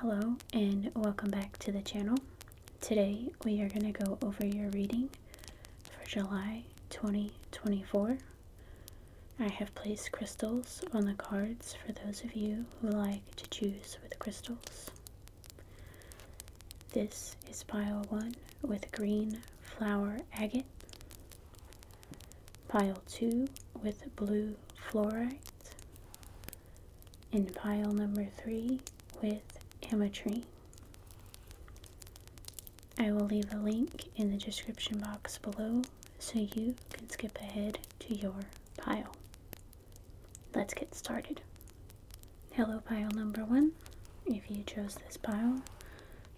Hello and welcome back to the channel. Today we are going to go over your reading for July 2024. I have placed crystals on the cards for those of you who like to choose with crystals. This is pile 1 with green flower agate, pile 2 with blue fluorite, and pile number 3 with ametrine. I will leave a link in the description box below so you can skip ahead to your pile. Let's get started. Hello pile number one. If you chose this pile,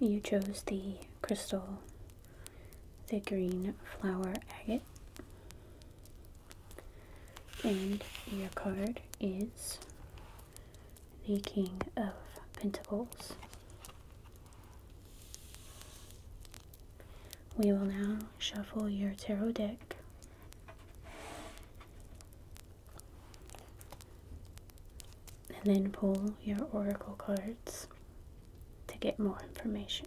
you chose the crystal, the green flower agate. And your card is the King of Pentacles. We will now shuffle your tarot deck. And then pull your oracle cards to get more information.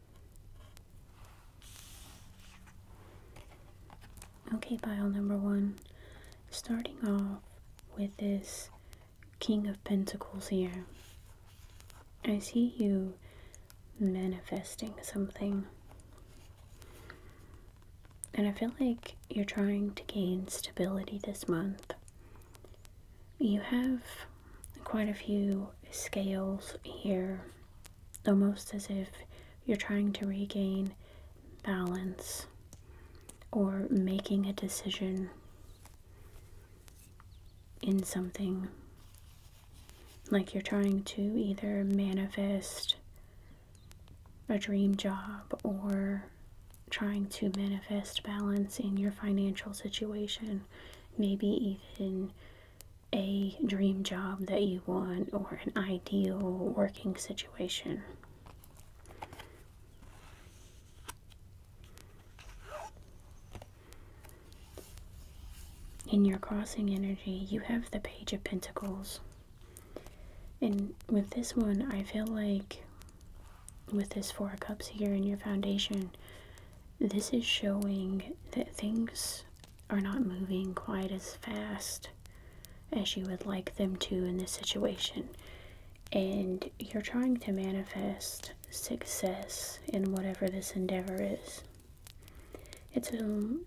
Okay, pile number one. Starting off with this King of Pentacles here. I see you manifesting something. And I feel like you're trying to gain stability this month. You have quite a few scales here, almost as if you're trying to regain balance or making a decision in something. Like you're trying to either manifest a dream job or trying to manifest balance in your financial situation maybe even a dream job that you want or an ideal working situation. In your crossing energy, you have the Page of Pentacles. And with this one, I feel like with this Four of Cups here in your foundation, this is showing that things are not moving quite as fast as you would like them to in this situation. And you're trying to manifest success in whatever this endeavor is. It's um,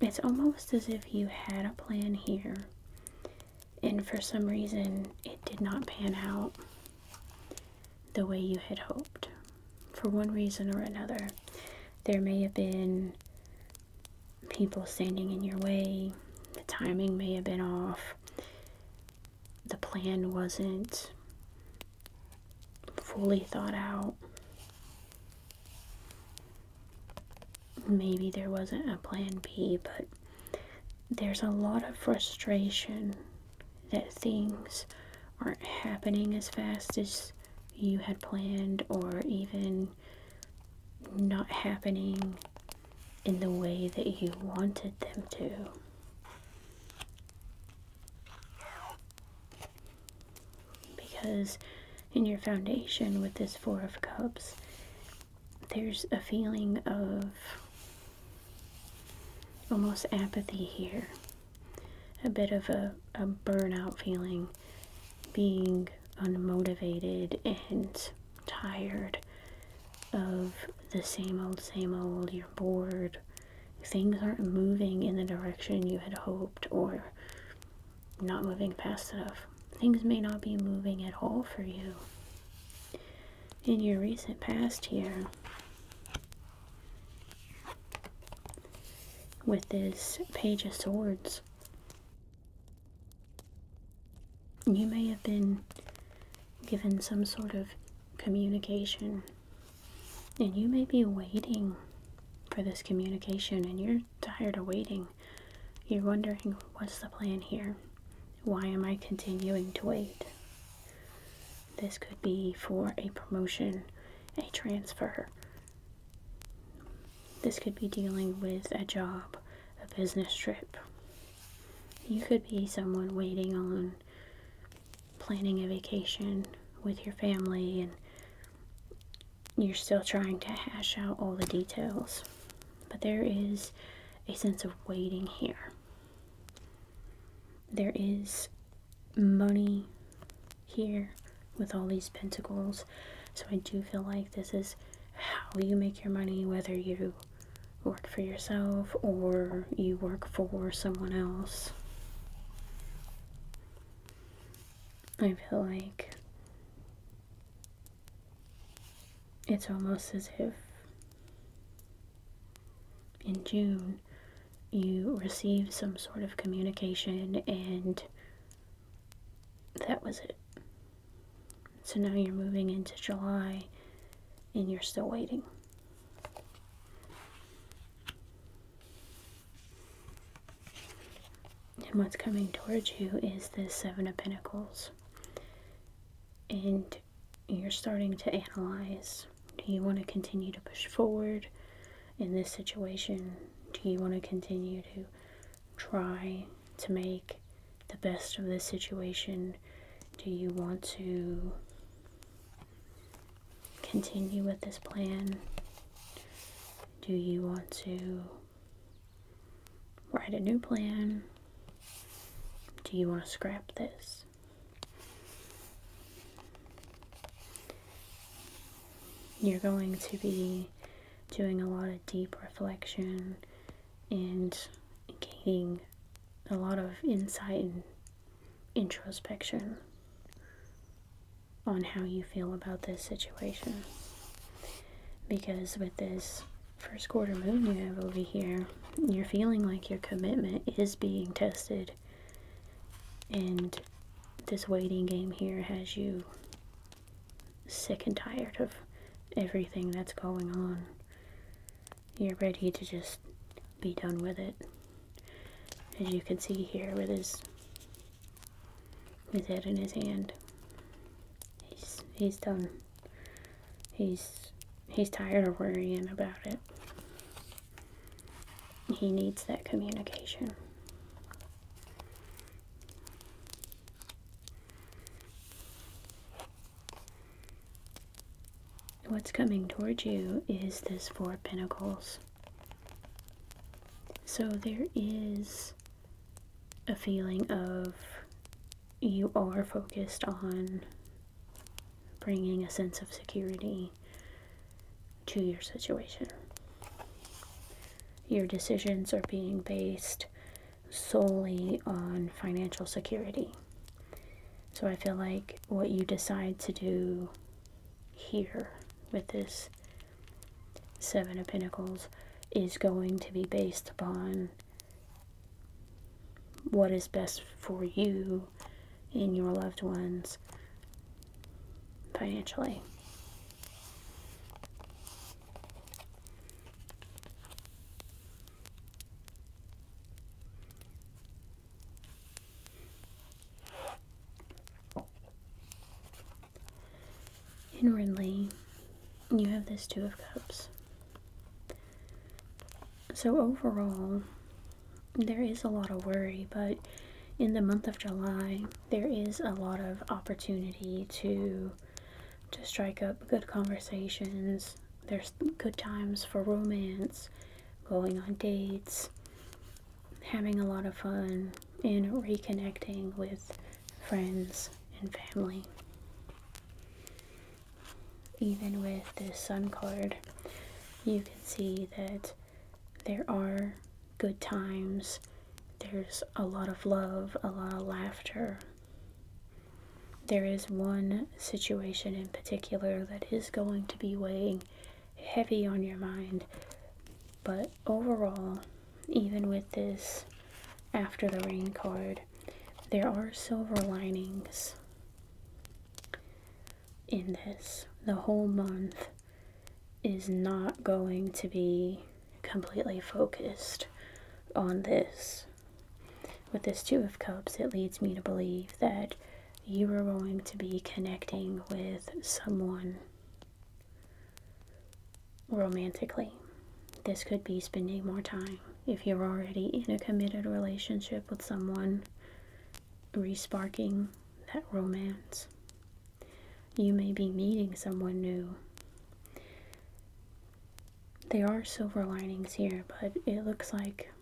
it's almost as if you had a plan here and for some reason it did not pan out the way you had hoped. For one reason or another, there may have been people standing in your way, the timing may have been off, the plan wasn't fully thought out. Maybe there wasn't a plan B, but there's a lot of frustration that things aren't happening as fast as you had planned or even not happening in the way that you wanted them to. Because in your foundation with this Four of Cups, there's a feeling of almost apathy here, a bit of a, burnout feeling, being unmotivated and tired of the same old, same old. You're bored. Things aren't moving in the direction you had hoped, or not moving fast enough. Things may not be moving at all for you. In your recent past here, with this Page of Swords. You may have been given some sort of communication, and you may be waiting for this communication, and you're tired of waiting. You're wondering, what's the plan here? Why am I continuing to wait? This could be for a promotion, a transfer. This could be dealing with a job, a business trip. You could be someone waiting on planning a vacation with your family and you're still trying to hash out all the details. But there is a sense of waiting here. There is money here with all these pentacles. So I do feel like this is how you make your money, whether you work for yourself or you work for someone else. I feel like it's almost as if in June you receive some sort of communication, and that was it. So now you're moving into July and you're still waiting. And what's coming towards you is the Seven of Pentacles. And you're starting to analyze do you want to continue to push forward in this situation? Do you want to continue to try to make the best of this situation? Do you want to continue with this plan? Do you want to write a new plan? Do you want to scrap this? You're going to be doing a lot of deep reflection and gaining a lot of insight and introspection on how you feel about this situation. Because with this first quarter moon you have over here, you're feeling like your commitment is being tested and this waiting game here has you sick and tired of everything that's going on you're ready to just be done with it as you can see here with his his head in his hand he's he's done he's he's tired of worrying about it he needs that communication. What's coming towards you is this Four Pentacles. So there is a feeling of you are focused on bringing a sense of security to your situation. Your decisions are being based solely on financial security. So I feel like what you decide to do here with this Seven of Pentacles is going to be based upon what is best for you you and your loved ones financially. Inwardly, you have this Two of Cups. So overall, there is a lot of worry, but in the month of July, there is a lot of opportunity to to strike up good conversations. There's good times for romance, going on dates, having a lot of fun, and reconnecting with friends and family. Even with this sun card, you can see that there are good times. There's a lot of love, a lot of laughter. There is one situation in particular that is going to be weighing heavy on your mind. But overall, even with this after the rain card, there are silver linings in this. The whole month is not going to be completely focused on this. With this Two of Cups, it leads me to believe that you are going to be connecting with someone romantically. This could be spending more time. If you're already in a committed relationship with someone, resparking that romance. You may be meeting someone new. There are silver linings here, but it looks like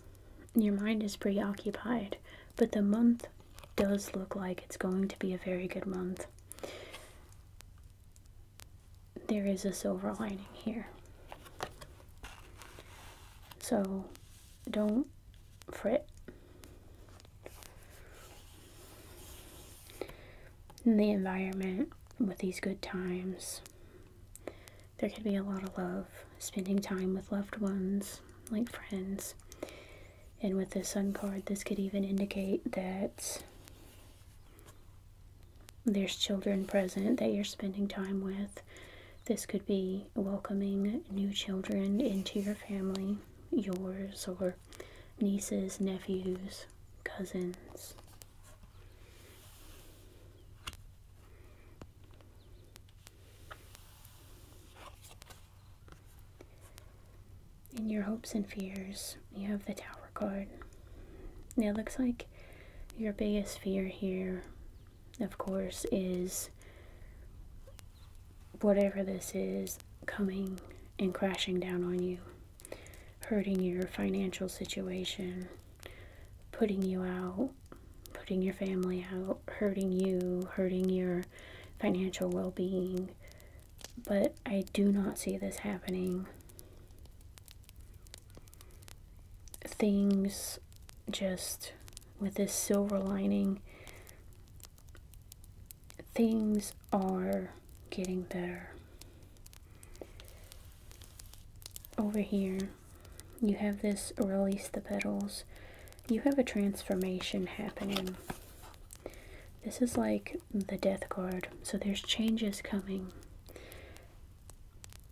your mind is preoccupied. But the month does look like it's going to be a very good month. There is a silver lining here. So don't fret. In the environment with these good times, there can be a lot of love, spending time with loved ones, like friends. And with the sun card, this could even indicate that there's children present that you're spending time with this could be welcoming new children into your family, yours or nieces, nephews, cousins. In your hopes and fears, you have the Tower card. Now it looks like your biggest fear here of course, is whatever this is coming and crashing down on you, hurting your financial situation, putting you out, putting your family out, hurting you, hurting your financial well being. But I do not see this happening. Things just with this silver lining things are getting better. Over here, you have this release the petals. You have a transformation happening. This is like the death card, so there's changes coming.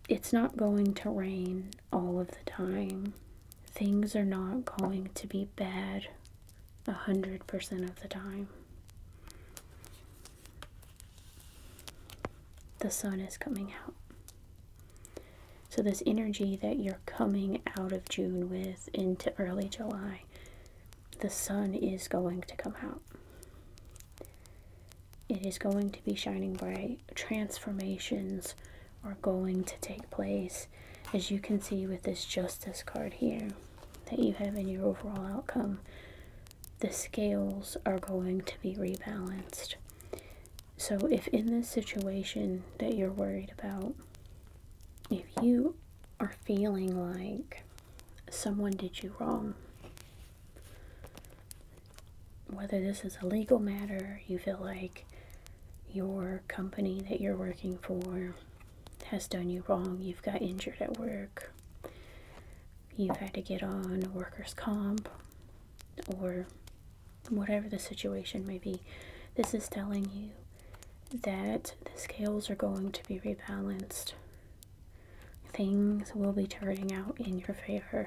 It's not going to rain all of the time. Things are not going to be bad 100% of the time. The sun is coming out. So, this energy that you're coming out of June with into early July, the sun is going to come out. It is going to be shining bright. Transformations are going to take place as you can see with this justice card here that you have in your overall outcome the scales are going to be rebalanced so if in this situation that you're worried about if you are feeling like someone did you wrong whether this is a legal matter you feel like your company that you're working for has done you wrong. You've got injured at work. You've had to get on workers' comp or whatever the situation may be. This is telling you that the scales are going to be rebalanced. Things will be turning out in your favor.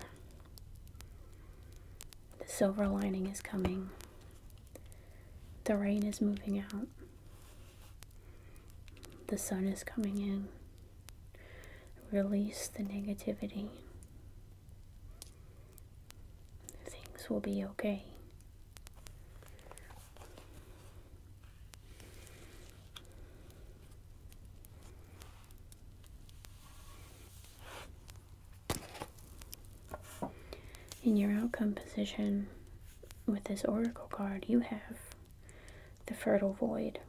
The silver lining is coming. The rain is moving out. The sun is coming in. Release the negativity. Things will be okay. In your outcome position with this oracle card, you have the fertile void.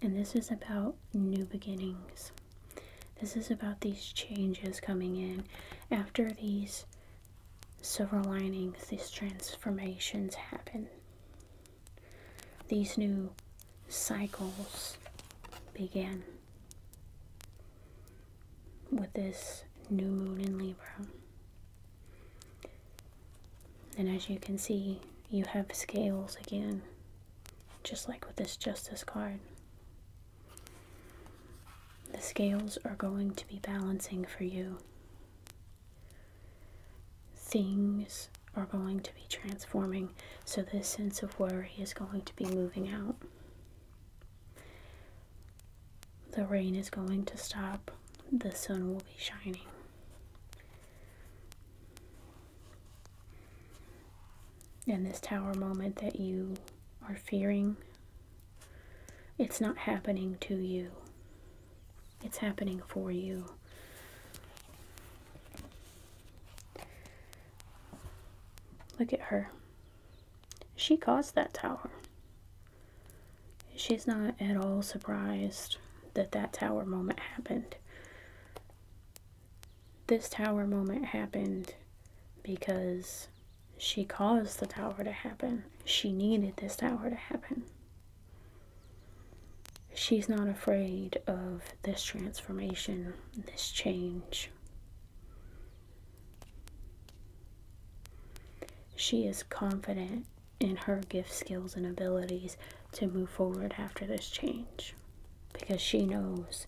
And this is about new beginnings. This is about these changes coming in after these silver linings, these transformations happen. These new cycles begin with this new moon in Libra. And as you can see, you have scales again, just like with this Justice card. The scales are going to be balancing for you. Things are going to be transforming, so this sense of worry is going to be moving out. The rain is going to stop. The sun will be shining. And this tower moment that you are fearing, it's not happening to you. It's happening for you. Look at her. She caused that tower. She's not at all surprised that that tower moment happened. This tower moment happened because she caused the tower to happen. She needed this tower to happen. She's not afraid of this transformation, this change, she is confident in her gift, skills, and abilities to move forward after this change because she knows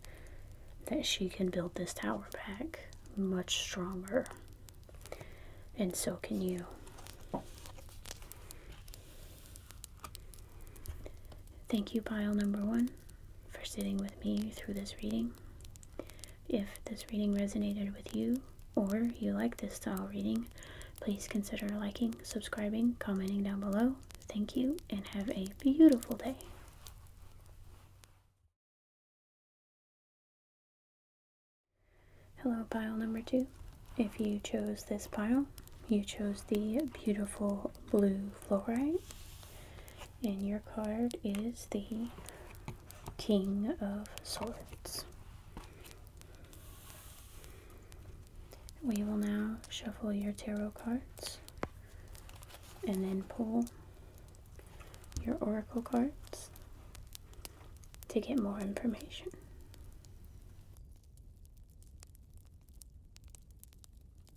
that she can build this tower back much stronger. And so can you. Thank you, pile number one for sitting with me through this reading. If this reading resonated with you, or you like this style reading, please consider liking, subscribing, commenting down below. Thank you, and have a beautiful day. Hello, pile number two. If you chose this pile, you chose the beautiful blue fluorite and your card is the King of Swords. We will now shuffle your tarot cards and then pull your oracle cards to get more information.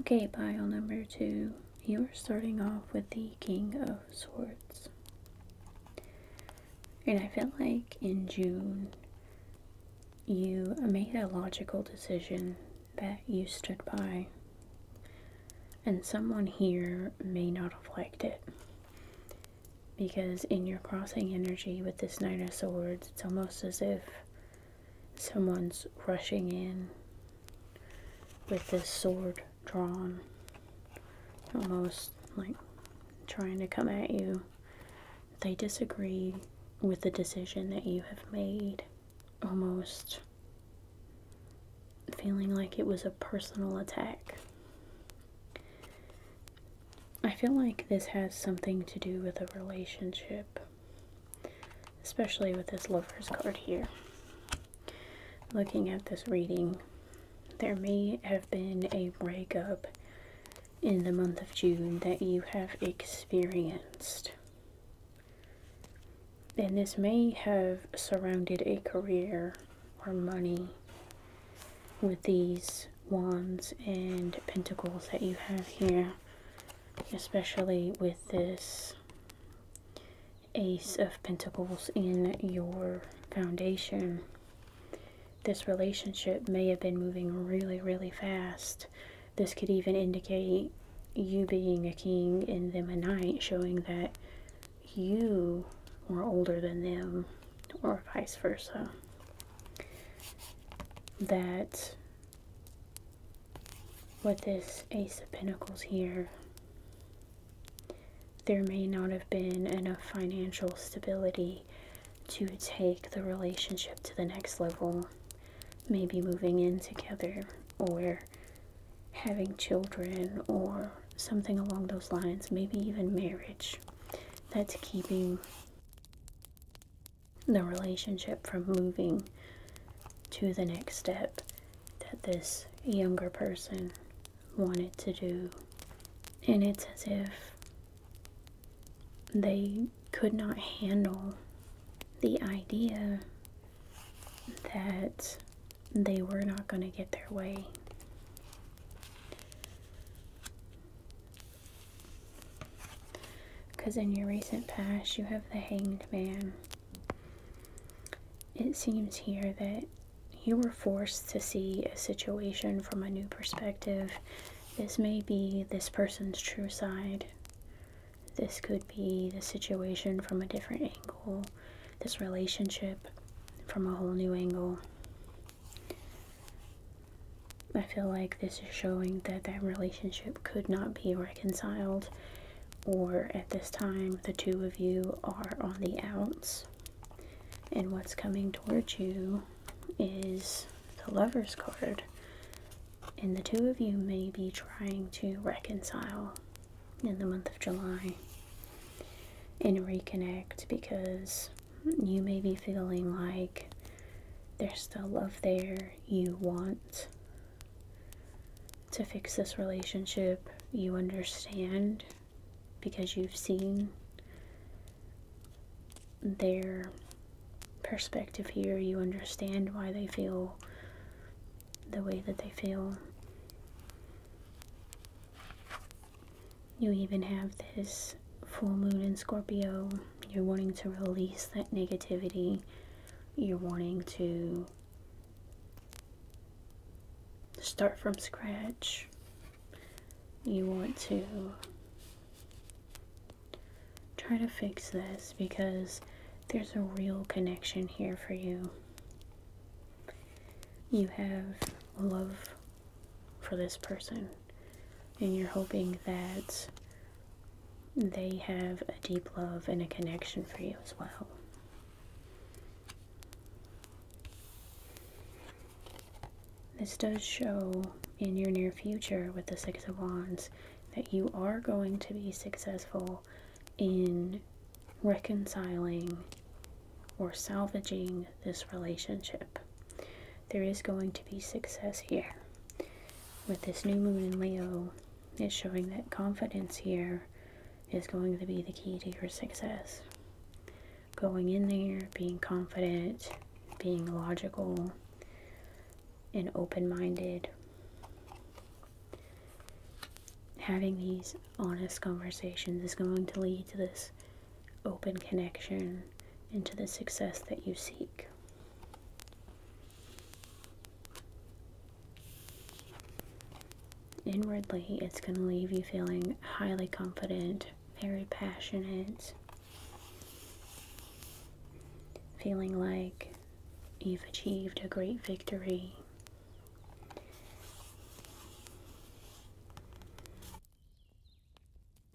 Okay, pile number two, you are starting off with the King of Swords. And I feel like in June, you made a logical decision that you stood by. And someone here may not have liked it. Because in your crossing energy with this Nine of Swords, it's almost as if someone's rushing in with this sword drawn. Almost like trying to come at you. They disagree with the decision that you have made almost feeling like it was a personal attack. I feel like this has something to do with a relationship, especially with this lover's card here. Looking at this reading, there may have been a breakup in the month of June that you have experienced. And this may have surrounded a career or money with these wands and pentacles that you have here, especially with this ace of pentacles in your foundation. This relationship may have been moving really, really fast this could even indicate you being a king and them a knight, showing that you were older than them, or vice versa. That with this Ace of Pentacles here, there may not have been enough financial stability to take the relationship to the next level, maybe moving in together or having children or something along those lines, maybe even marriage, that's keeping the relationship from moving to the next step that this younger person wanted to do. And it's as if they could not handle the idea that they were not going to get their way. Because in your recent past, you have the hanged man. It seems here that you were forced to see a situation from a new perspective. This may be this person's true side. This could be the situation from a different angle, this relationship from a whole new angle. I feel like this is showing that that relationship could not be reconciled, or at this time, the two of you are on the outs, and what's coming towards you is the Lover's card and the two of you may be trying to reconcile in the month of July and reconnect because you may be feeling like there's still love there. You want to fix this relationship. You understand because you've seen their perspective here. You understand why they feel the way that they feel. You even have this full moon in Scorpio. You're wanting to release that negativity. You're wanting to start from scratch. You want to try to fix this because there's a real connection here for you. You have love for this person, and you're hoping that they have a deep love and a connection for you as well. This does show in your near future with the Six of Wands that you are going to be successful in reconciling or salvaging this relationship. There is going to be success here. With this new moon in Leo, it's showing that confidence here is going to be the key to your success. Going in there, being confident, being logical, and open minded having these honest conversations is going to lead to this open connection and to the success that you seek. Inwardly, it's going to leave you feeling highly confident, very passionate, feeling like you've achieved a great victory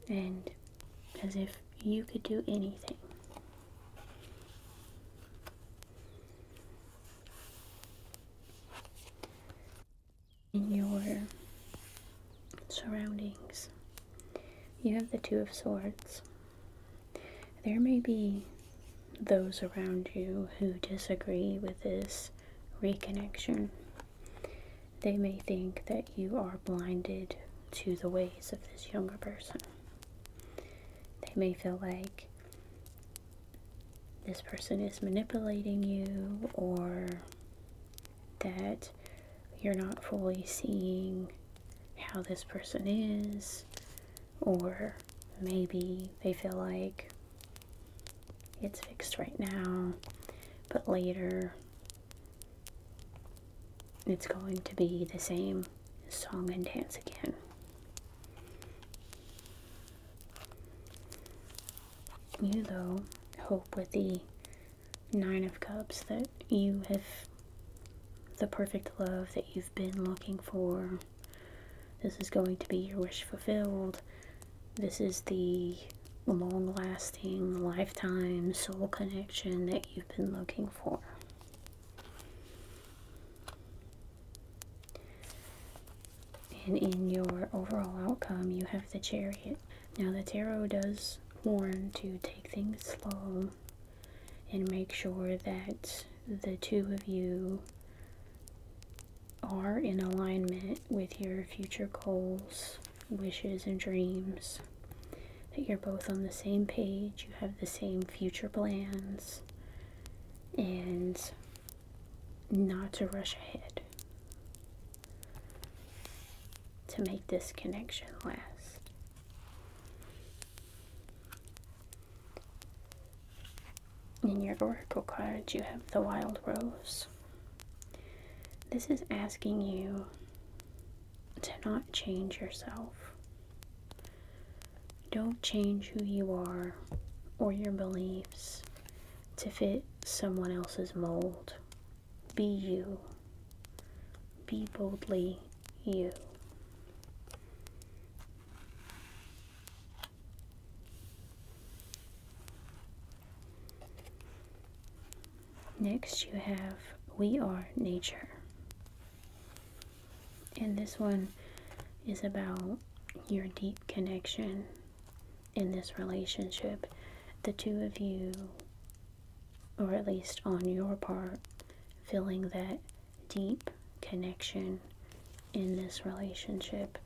and as if you could do anything. In your surroundings, you have the Two of Swords, there may be those around you who disagree with this reconnection. They may think that you are blinded to the ways of this younger person. They may feel like this person is manipulating you or that you're not fully seeing how this person is or maybe they feel like it's fixed right now, but later it's going to be the same song and dance again. You, though, hope with the Nine of Cups that you have the perfect love that you've been looking for this is going to be your wish fulfilled. This is the long lasting, lifetime soul connection that you've been looking for. And in your overall outcome, you have the chariot. Now, the tarot does warn to take things slow and make sure that the two of you are in alignment with your future goals, wishes, and dreams. That you're both on the same page, you have the same future plans, and not to rush ahead to make this connection last. In your oracle cards, you have the wild rose. This is asking you to not change yourself. Don't change who you are or your beliefs to fit someone else's mold. Be you. Be boldly you. Next you have We Are Nature. And this one is about your deep connection in this relationship. The two of you, or at least on your part, feeling that deep connection in this relationship,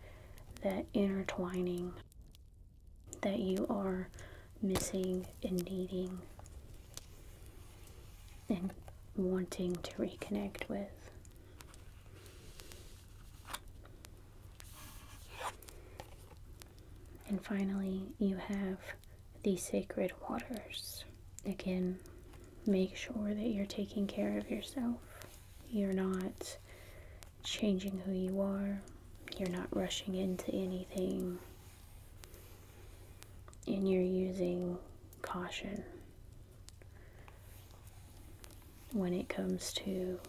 that intertwining that you are missing and needing and wanting to reconnect with. And finally, you have the sacred waters. Again, make sure that you're taking care of yourself. You're not changing who you are. You're not rushing into anything. And you're using caution when it comes to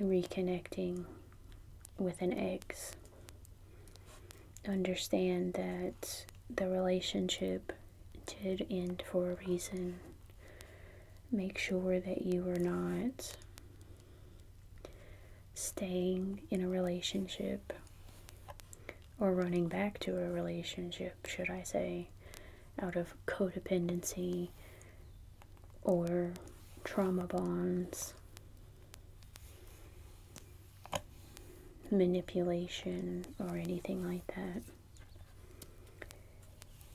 reconnecting with an ex. Understand that the relationship did end for a reason. Make sure that you are not staying in a relationship or running back to a relationship, should I say, out of codependency or trauma bonds manipulation or anything like that.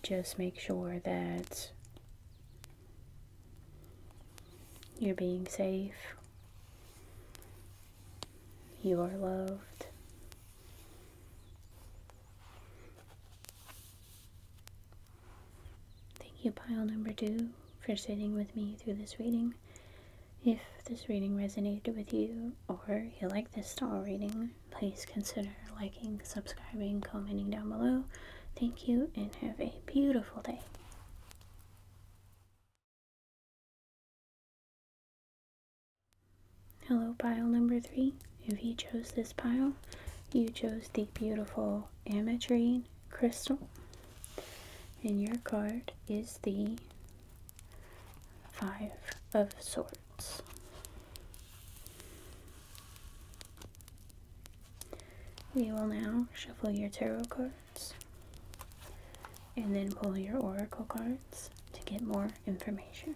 Just make sure that you're being safe, you are loved, Thank you, pile number two, for sitting with me through this reading. If this reading resonated with you or you like this tarot reading, please consider liking, subscribing, commenting down below. Thank you and have a beautiful day. Hello, pile number three. If you chose this pile, you chose the beautiful ametrine crystal. And your card is the Five of Swords. We will now shuffle your tarot cards and then pull your oracle cards to get more information.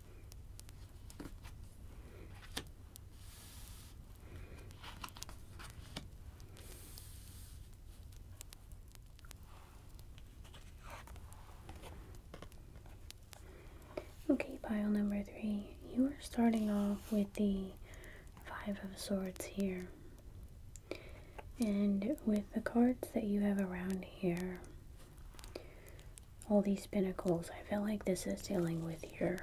Okay, pile number three. You are starting off with the Five of Swords here. And with the cards that you have around here, all these pinnacles. I feel like this is dealing with your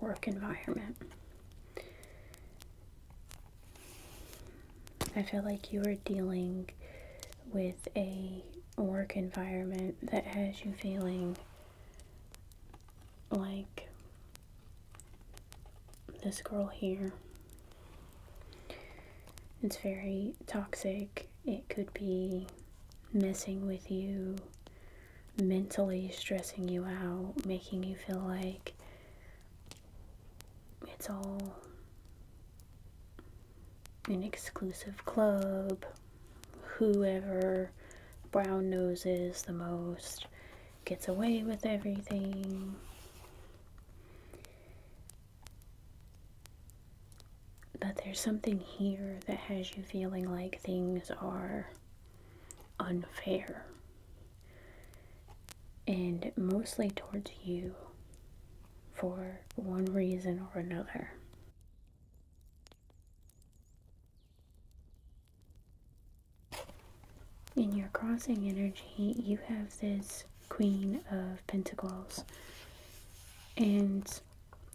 work environment. I feel like you are dealing with a work environment that has you feeling like this girl here. It's very toxic it could be messing with you, mentally stressing you out, making you feel like it's all an exclusive club, whoever brown noses the most gets away with everything. But there's something here that has you feeling like things are unfair. And mostly towards you for one reason or another. In your crossing energy, you have this Queen of Pentacles. And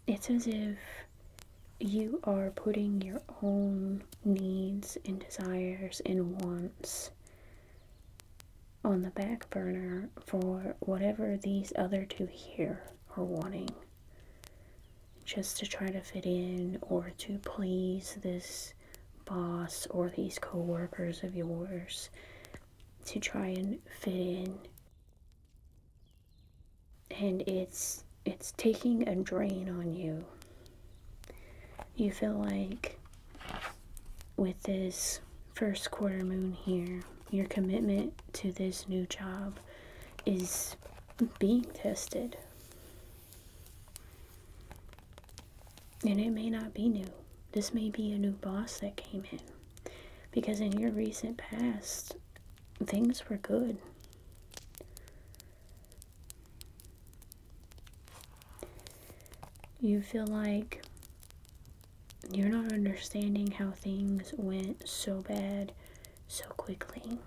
it's as if you are putting your own needs and desires and wants on the back burner for whatever these other two here are wanting. Just to try to fit in or to please this boss or these coworkers of yours, to try and fit in and it's it's taking a drain on you you feel like with this first quarter moon here your commitment to this new job is being tested and it may not be new this may be a new boss that came in because in your recent past, things were good. You feel like you're not understanding how things went so bad so quickly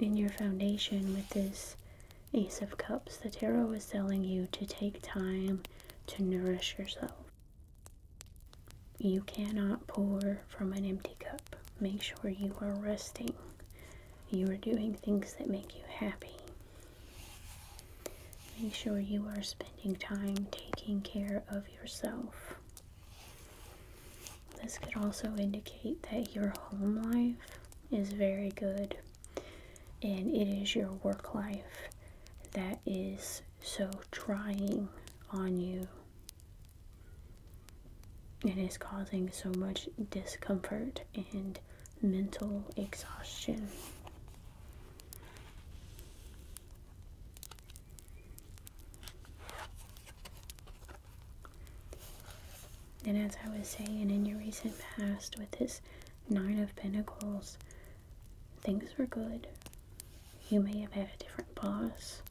in your foundation with this Ace of Cups, the tarot is telling you to take time to nourish yourself. You cannot pour from an empty cup. Make sure you are resting. You are doing things that make you happy. Make sure you are spending time taking care of yourself. This could also indicate that your home life is very good and it is your work life that is so trying on you and is causing so much discomfort and mental exhaustion. And as I was saying, in your recent past, with this Nine of Pentacles, things were good. You may have had a different boss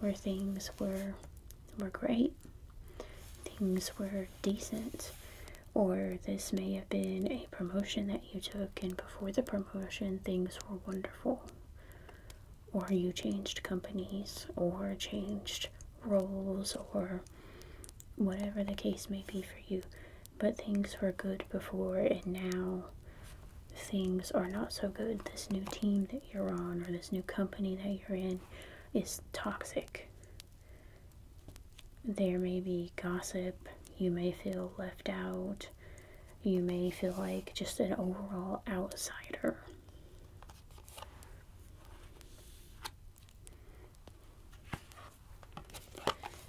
where things were were great, things were decent, or this may have been a promotion that you took, and before the promotion, things were wonderful or you changed companies or changed roles or whatever the case may be for you. But things were good before and now things are not so good. This new team that you're on or this new company that you're in is toxic. There may be gossip, you may feel left out, you may feel like just an overall outsider.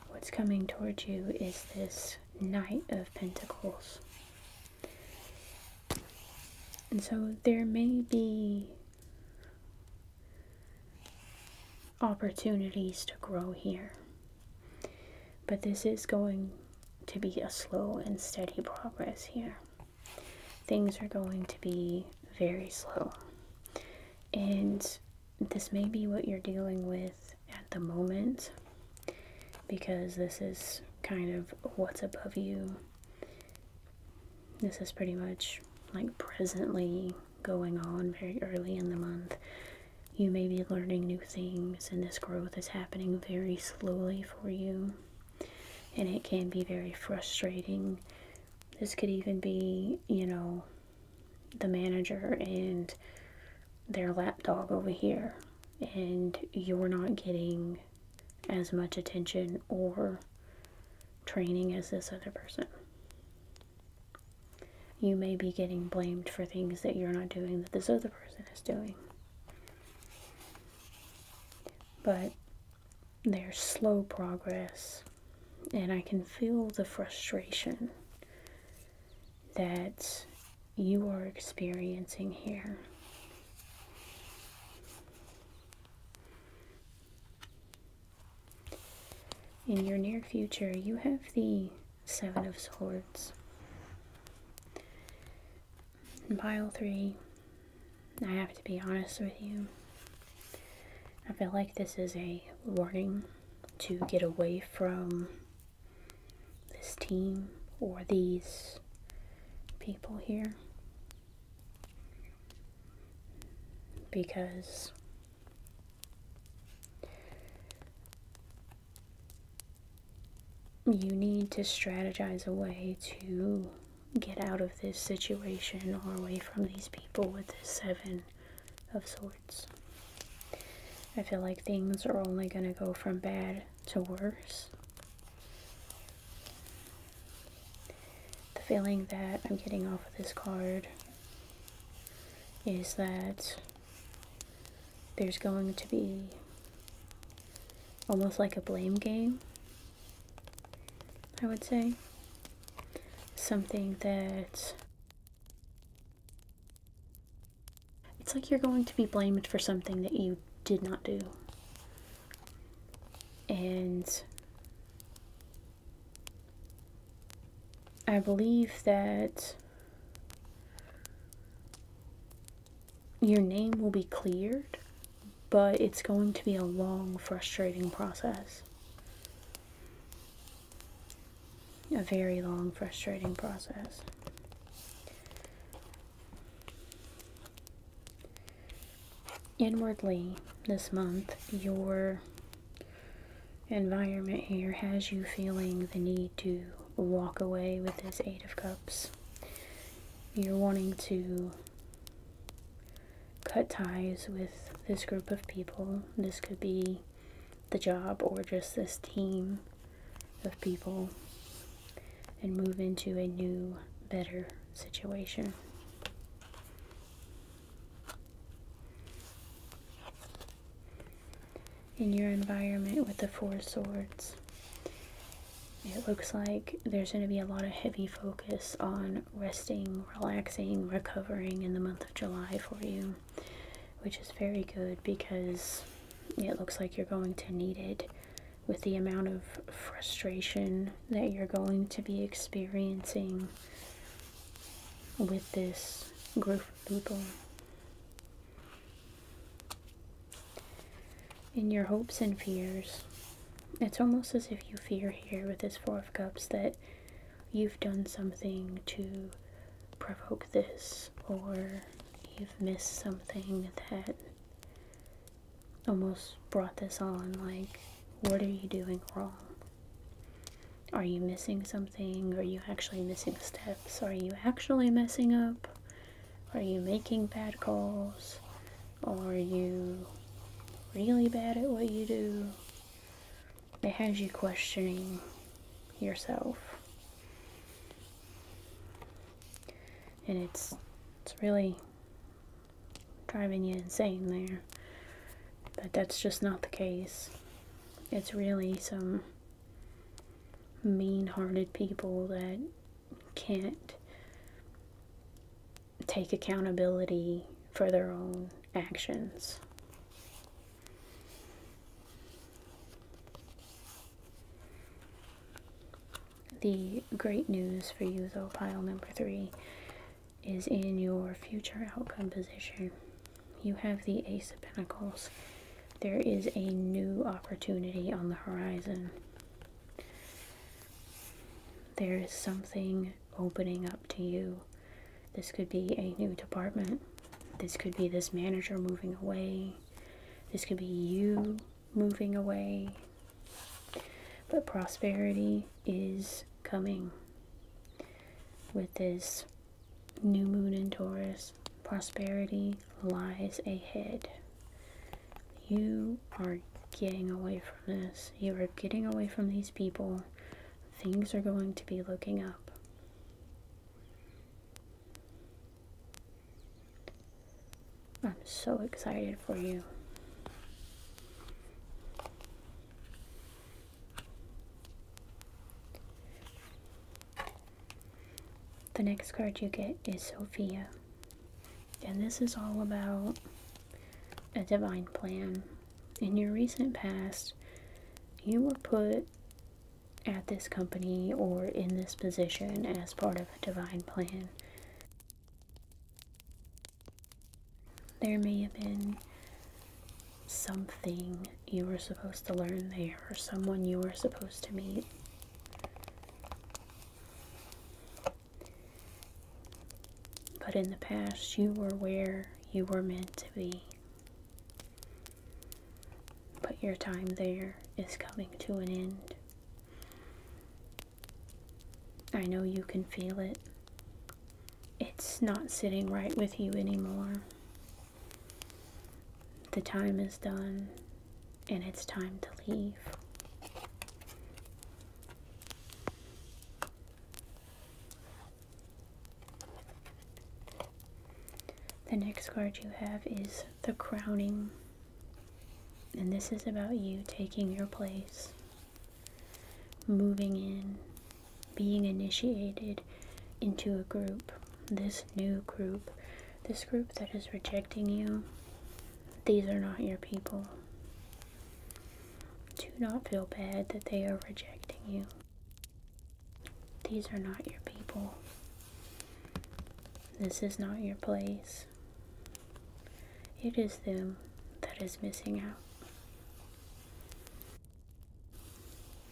What's coming towards you is this Knight of Pentacles. And so there may be opportunities to grow here. But this is going to be a slow and steady progress here things are going to be very slow. And this may be what you're dealing with at the moment because this is kind of what's above you. This is pretty much like presently going on very early in the month. You may be learning new things, and this growth is happening very slowly for you and it can be very frustrating. This could even be, you know, the manager and their lapdog over here, and you're not getting as much attention or training as this other person. You may be getting blamed for things that you're not doing that this other person is doing. But their slow progress, and I can feel the frustration that you are experiencing here. In your near future, you have the Seven of Swords in pile three. I have to be honest with you. I feel like this is a warning to get away from this team or these people here. Because you need to strategize a way to get out of this situation or away from these people with this seven of swords. I feel like things are only going to go from bad to worse. The feeling that I'm getting off of this card is that there's going to be almost like a blame game I would say. Something that it's like you're going to be blamed for something that you did not do. And I believe that your name will be cleared but it's going to be a long, frustrating process. A very long, frustrating process. Inwardly, this month, your environment here has you feeling the need to walk away with this Eight of Cups. You're wanting to cut ties with this group of people. This could be the job or just this team of people and move into a new, better situation. In your environment with the Four Swords, it looks like there's going to be a lot of heavy focus on resting, relaxing, recovering in the month of July for you, which is very good because it looks like you're going to need it with the amount of frustration that you're going to be experiencing with this group of people in your hopes and fears. It's almost as if you fear here with this Four of Cups that you've done something to provoke this, or you've missed something that almost brought this on. Like, what are you doing wrong? Are you missing something? Are you actually missing steps? Are you actually messing up? Are you making bad calls? Or you really bad at what you do? It has you questioning yourself. And it's, it's really driving you insane there. But that's just not the case. It's really some mean-hearted people that can't take accountability for their own actions. The great news for you, though, pile number three, is in your future outcome position. You have the Ace of Pentacles. There is a new opportunity on the horizon. There is something opening up to you. This could be a new department. This could be this manager moving away. This could be you moving away. But prosperity is coming with this new moon in Taurus. Prosperity lies ahead. You are getting away from this. You are getting away from these people. Things are going to be looking up. I'm so excited for you. The next card you get is Sophia. And this is all about a divine plan. In your recent past, you were put at this company or in this position as part of a divine plan. There may have been something you were supposed to learn there or someone you were supposed to meet. But in the past, you were where you were meant to be. But your time there is coming to an end. I know you can feel it. It's not sitting right with you anymore. The time is done, and it's time to leave. The next card you have is the crowning. And this is about you taking your place, moving in, being initiated into a group, this new group, this group that is rejecting you. These are not your people. Do not feel bad that they are rejecting you. These are not your people. This is not your place. It is them that is missing out.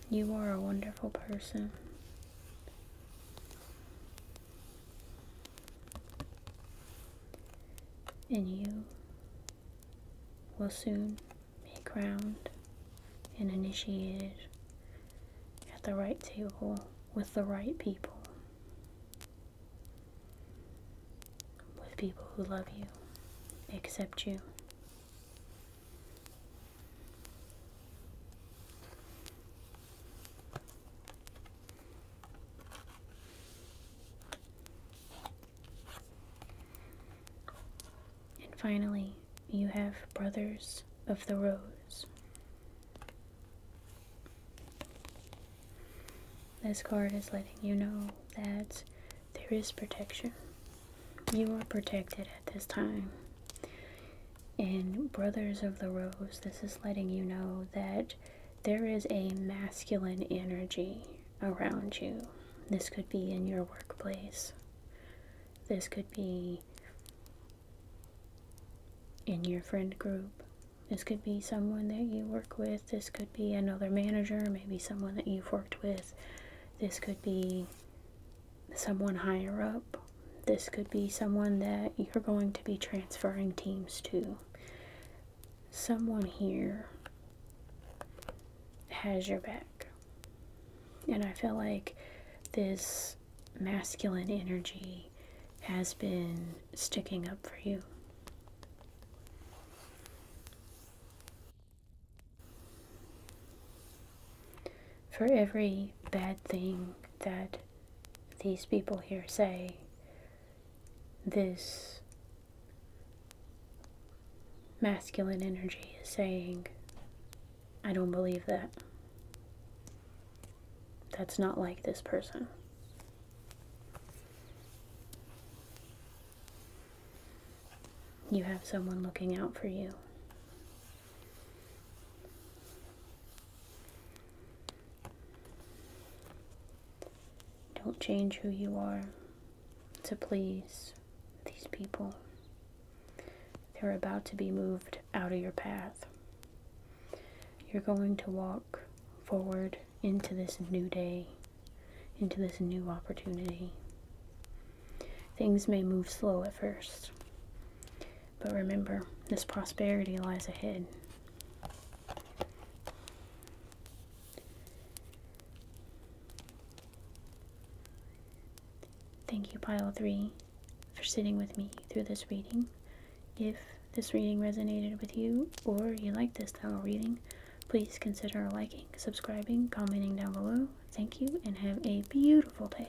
You are a wonderful person and you will soon be crowned and initiated at the right table with the right people, with people who love you, accept you. And finally, you have Brothers of the Rose. This card is letting you know that there is protection. You are protected at this time. And Brothers of the Rose, this is letting you know that there is a masculine energy around you. This could be in your workplace. This could be in your friend group. This could be someone that you work with. This could be another manager, maybe someone that you've worked with. This could be someone higher up. This could be someone that you're going to be transferring teams to someone here has your back. And I feel like this masculine energy has been sticking up for you. For every bad thing that these people here say, this masculine energy is saying, I don't believe that. That's not like this person. You have someone looking out for you. Don't change who you are to please these people. They're about to be moved out of your path. You're going to walk forward into this new day, into this new opportunity. Things may move slow at first, but remember, this prosperity lies ahead. Thank you, Pile 3, for sitting with me through this reading. If this reading resonated with you or you like this style of reading, please consider liking, subscribing, commenting down below. Thank you and have a beautiful day.